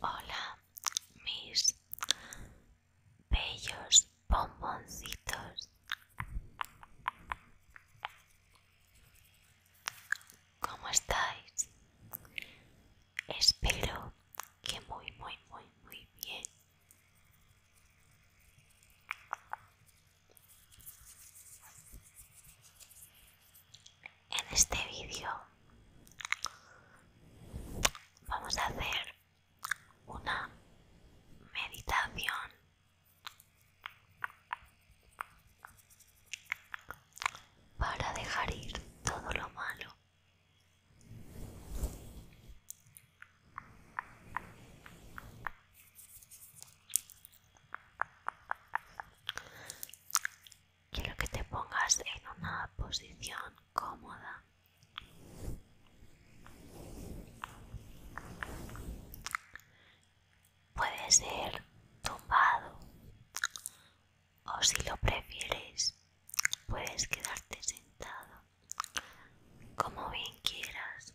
Hola, mis bellos bomboncitos. ¿Cómo estáis? Espero que muy, muy, muy, muy bien. En este vídeo vamos a hacer una meditación para dejar ir todo lo malo. Quiero que te pongas en una posición cómoda. Puede ser tumbado o si lo prefieres puedes quedarte sentado como bien quieras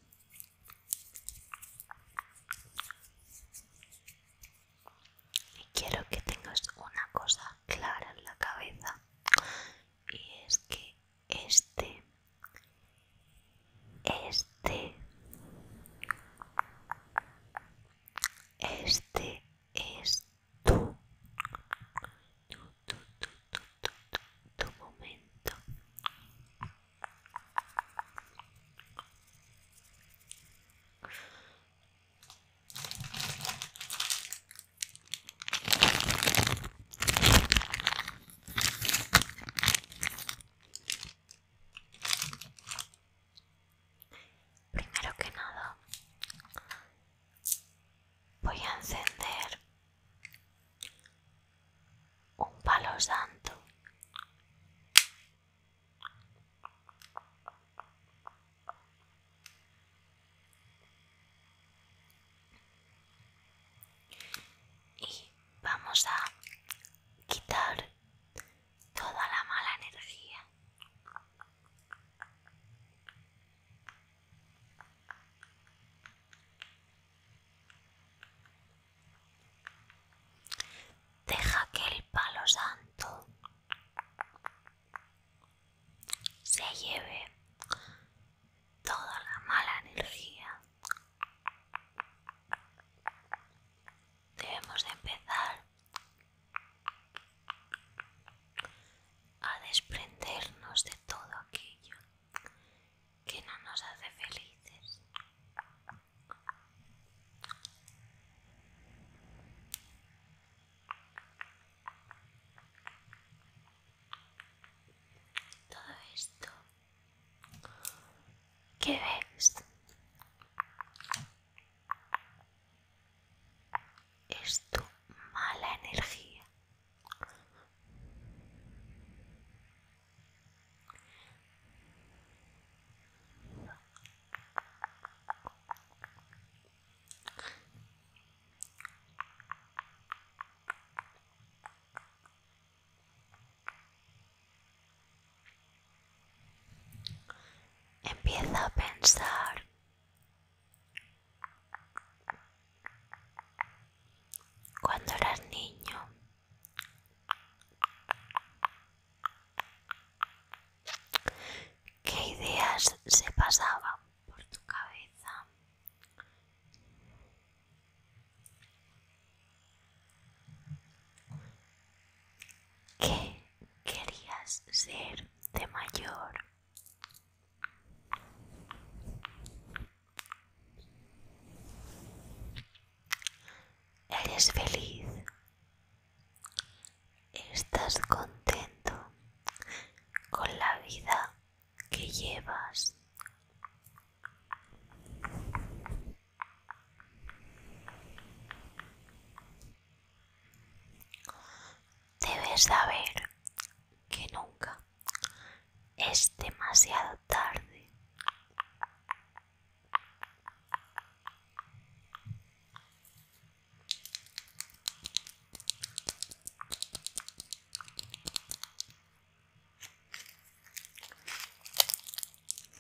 y quiero que tengas una cosa clara en la cabeza y es que este este este es tu, momento. Primero que nada, voy a encender un palo santo. Y vamos a quitar toda la mala energía. Deja que el palo santo se lleve toda la mala energía. Debemos de empezar a desprendernos de todo aquello que no nos hace felices. Todo esto que ves es tu mala energía. Empieza a pensar cuando eras niño. ¿Qué ideas se pasaban por tu cabeza? ¿Qué querías ser de mayor? ¿Eres feliz? ¿Estás contento con la vida que llevas? Debes saber que nunca es demasiado tarde.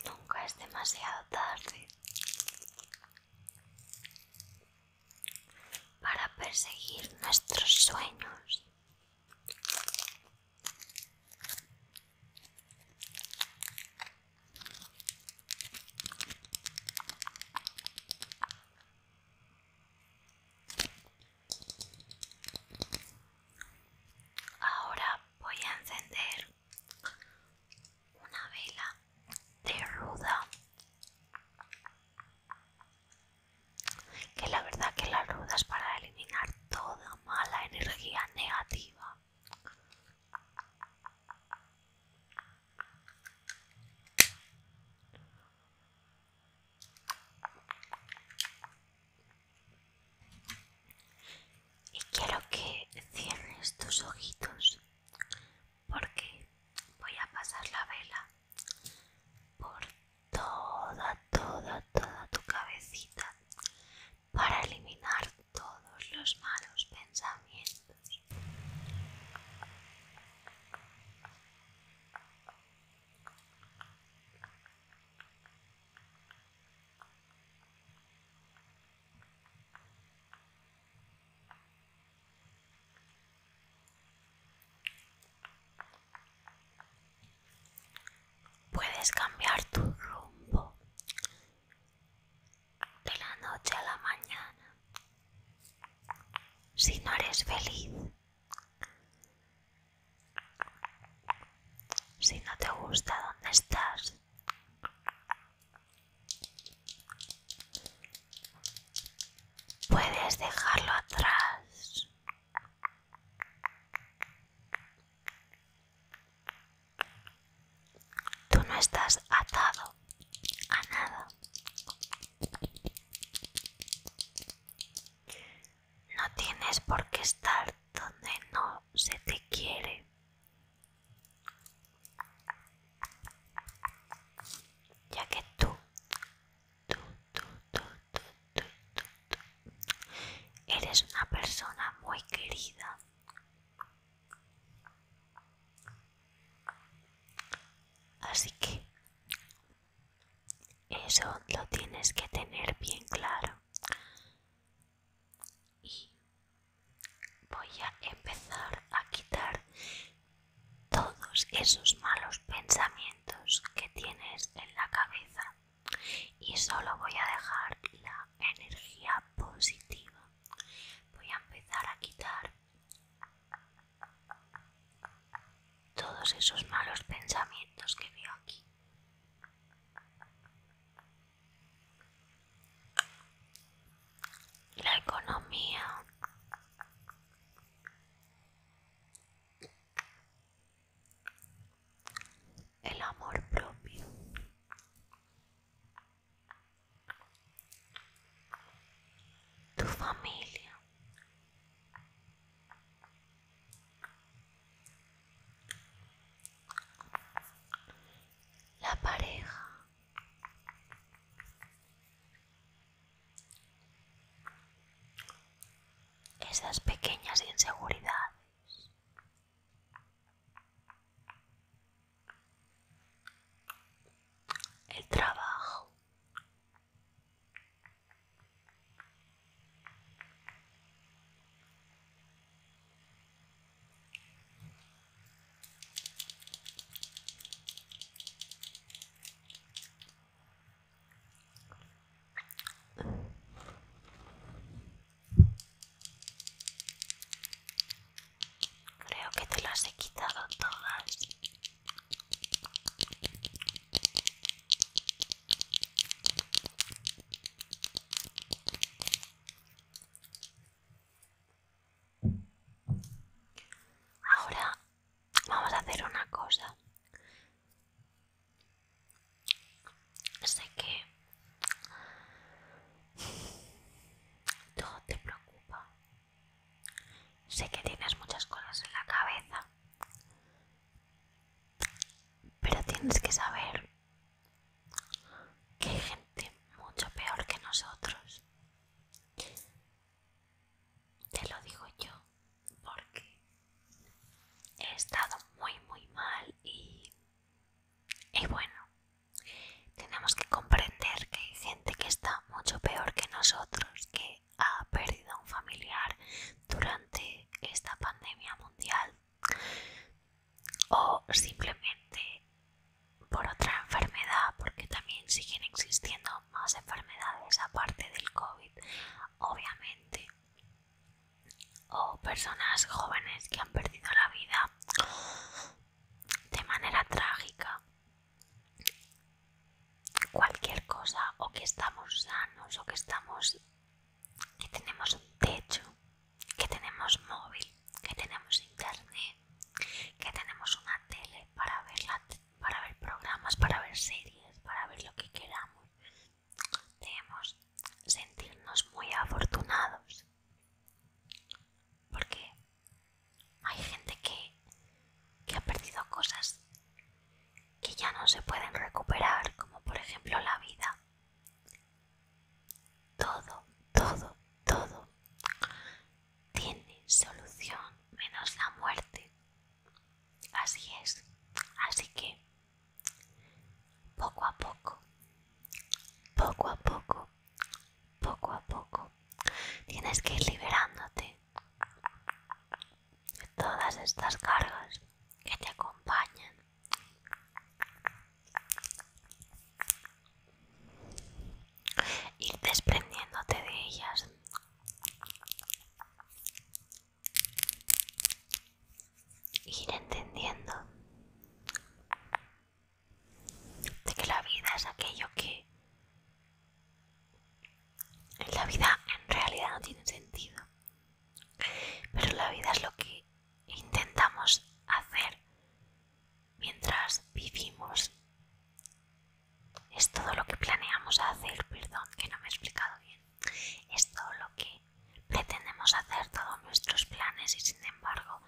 Nunca es demasiado tarde para perseguir nuestros sueños. Ahora voy a encender una vela de ruda que la verdad que la ruda es para eliminar toda mala energía negativa y quiero que cierres tus ojitos porque voy a pasar la vela por toda, toda, toda tu cabecita para eliminar todos los malos pensamientos. Puedes cambiar tu rumbo de la noche a la mañana. Si no eres feliz, si no te gusta dónde estás, Puedes dejarlo atrás. Tú no estás atado a nada. No tienes por qué estar donde no se te quiere ya que tú, eres una persona muy querida. Así que eso lo tienes que tener bien claro y voy a empezar a quitar todos esos malos pensamientos que tienes en la cabeza y solo voy a dejar la energía positiva voy a empezar a quitar todos esos malos pensamientos que veo aquí la economía el amor propio tu familia la pareja esas pequeñas inseguridades el trabajo Creo que te las he quitado todas. Ahora vamos a hacer una cosa. Sé que todo te preocupa. Sé que tienes muchas cosas en la cabeza. Pero tienes que saber que hay gente mucho peor que nosotros. Te lo digo yo porque he estado muy muy mal y, bueno, tenemos que comprender que hay gente que está mucho peor que nosotros, que ha perdido a un familiar durante esta pandemia mundial o simplemente por otra enfermedad, porque también siguen existiendo más enfermedades aparte del COVID, obviamente, o personas jóvenes que han perdido la vida de manera trágica, cualquier cosa, o que estamos sanos, o que estamos que tenemos un techo, que tenemos móvil, que tenemos internet, que tenemos una tele para ver, para ver programas, para ver series, para ver lo que queramos. Debemos sentirnos muy afortunados porque hay gente que ha perdido cosas que ya no se pueden recuperar, como por ejemplo la vida. Todo, todo, todo tiene solución menos la muerte. Así es. Así que, poco a poco, poco a poco, poco a poco, tienes que ir liberándote de todas estas cargas que te acompañan ir desprendiéndote de ellas ir entendiendo de que la vida es aquello que la vida en realidad no tiene sentido pero la vida es lo que intentamos hacer mientras vivimos. Es todo lo que planeamos hacer, perdón que no me he explicado bien. Es todo lo que pretendemos hacer, todos nuestros planes y sin embargo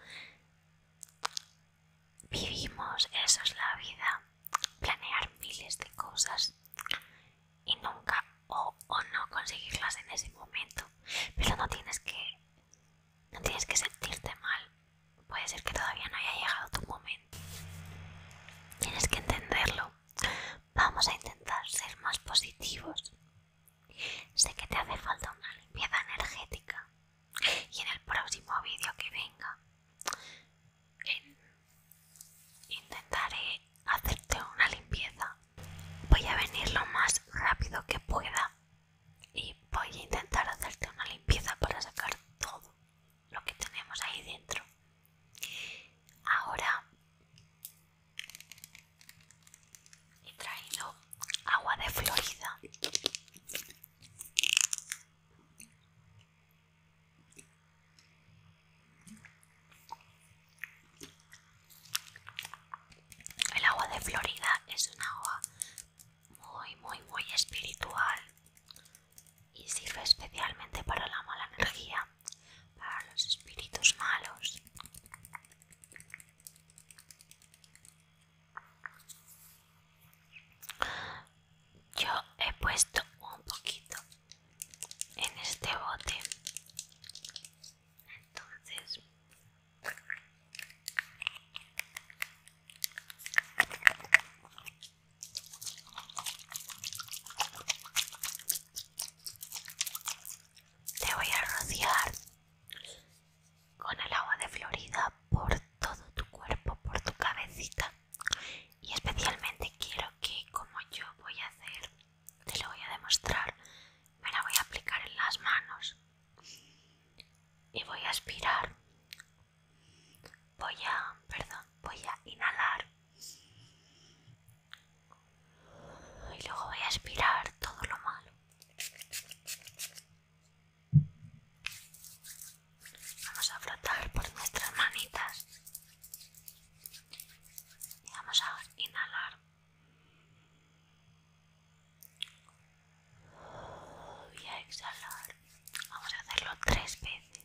vivimos, eso es la vida, planear miles de cosas y nunca o, o no conseguirlas en ese momento. Pero no tienes que no tienes que sentirte mal. Puede ser que todavía no haya llegado tu momento. Tienes que entenderlo. Vamos a intentar ser más positivos. Sé que te hace falta una limpieza energética. Y en el próximo vídeo que venga, intentaré hacerte una limpieza voy a venir lo más rápido que pueda y voy a intentar hacerte una limpieza para sacar todo lo que tenemos ahí dentro. Ahora he traído agua de Florida. El agua de Florida es un agua muy, muy, muy espiritual y sirve especialmente para la mala energía, para los espíritus malos. Yo he puesto un poquito en este bote entonces te voy a rociar con el agua de Florida por todo tu cuerpo, por tu cabecita. Y especialmente quiero que, como yo voy a hacer, te lo voy a demostrar, me la voy a aplicar en las manos y voy a aspirar voy a perdón voy a inhalar y luego voy a aspirar todo lo malo vamos a frotar por nuestras manitas y vamos a inhalar Voy a exhalar. Vamos a hacerlo tres veces.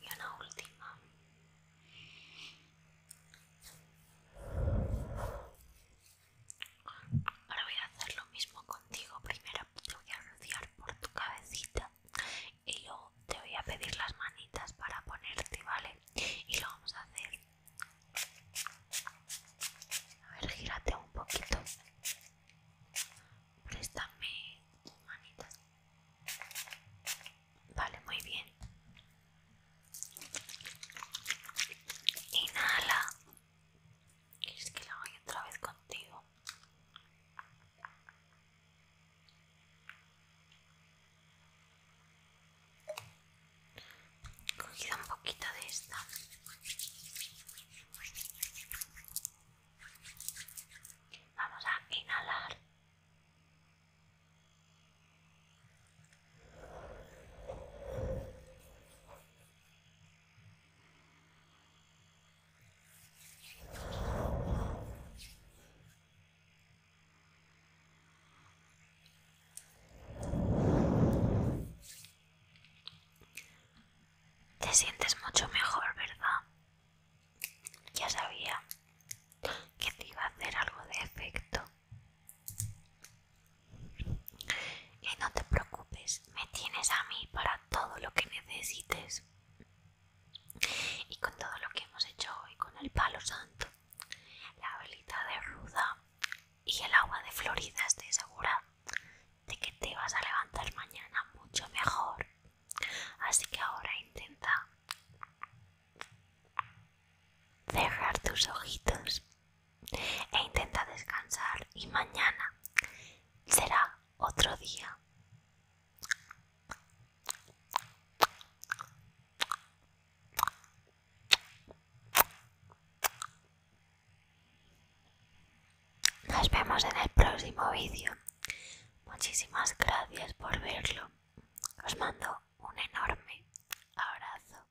Y una última. Ahora voy a hacer lo mismo contigo. Primero te voy a rociar por tu cabecita y yo te voy a pedir las manitas para ponerte, ¿vale? Y lo vamos a hacer. A ver, gírate un poquito. Préstame tus manitas. Vale, muy bien. Inhala. Es que la voy otra vez contigo? Cogida un poquito de esta. Vamos a inhalar. Te sientes mucho mejor, ¿verdad? Ya sabía que te iba a hacer algo de efecto. Y no te preocupes, me tienes a mí para todo lo que necesites. Y con todo lo que hemos hecho hoy, con el palo santo, la velita de ruda y el agua de Florida, estoy segura de que te vas a levantar mañana mucho mejor. Así que ahora intenta cerrar tus ojitos e intenta descansar y mañana será otro día. Nos vemos en el próximo vídeo. Muchísimas gracias por verlo. Os mando un enorme abrazo.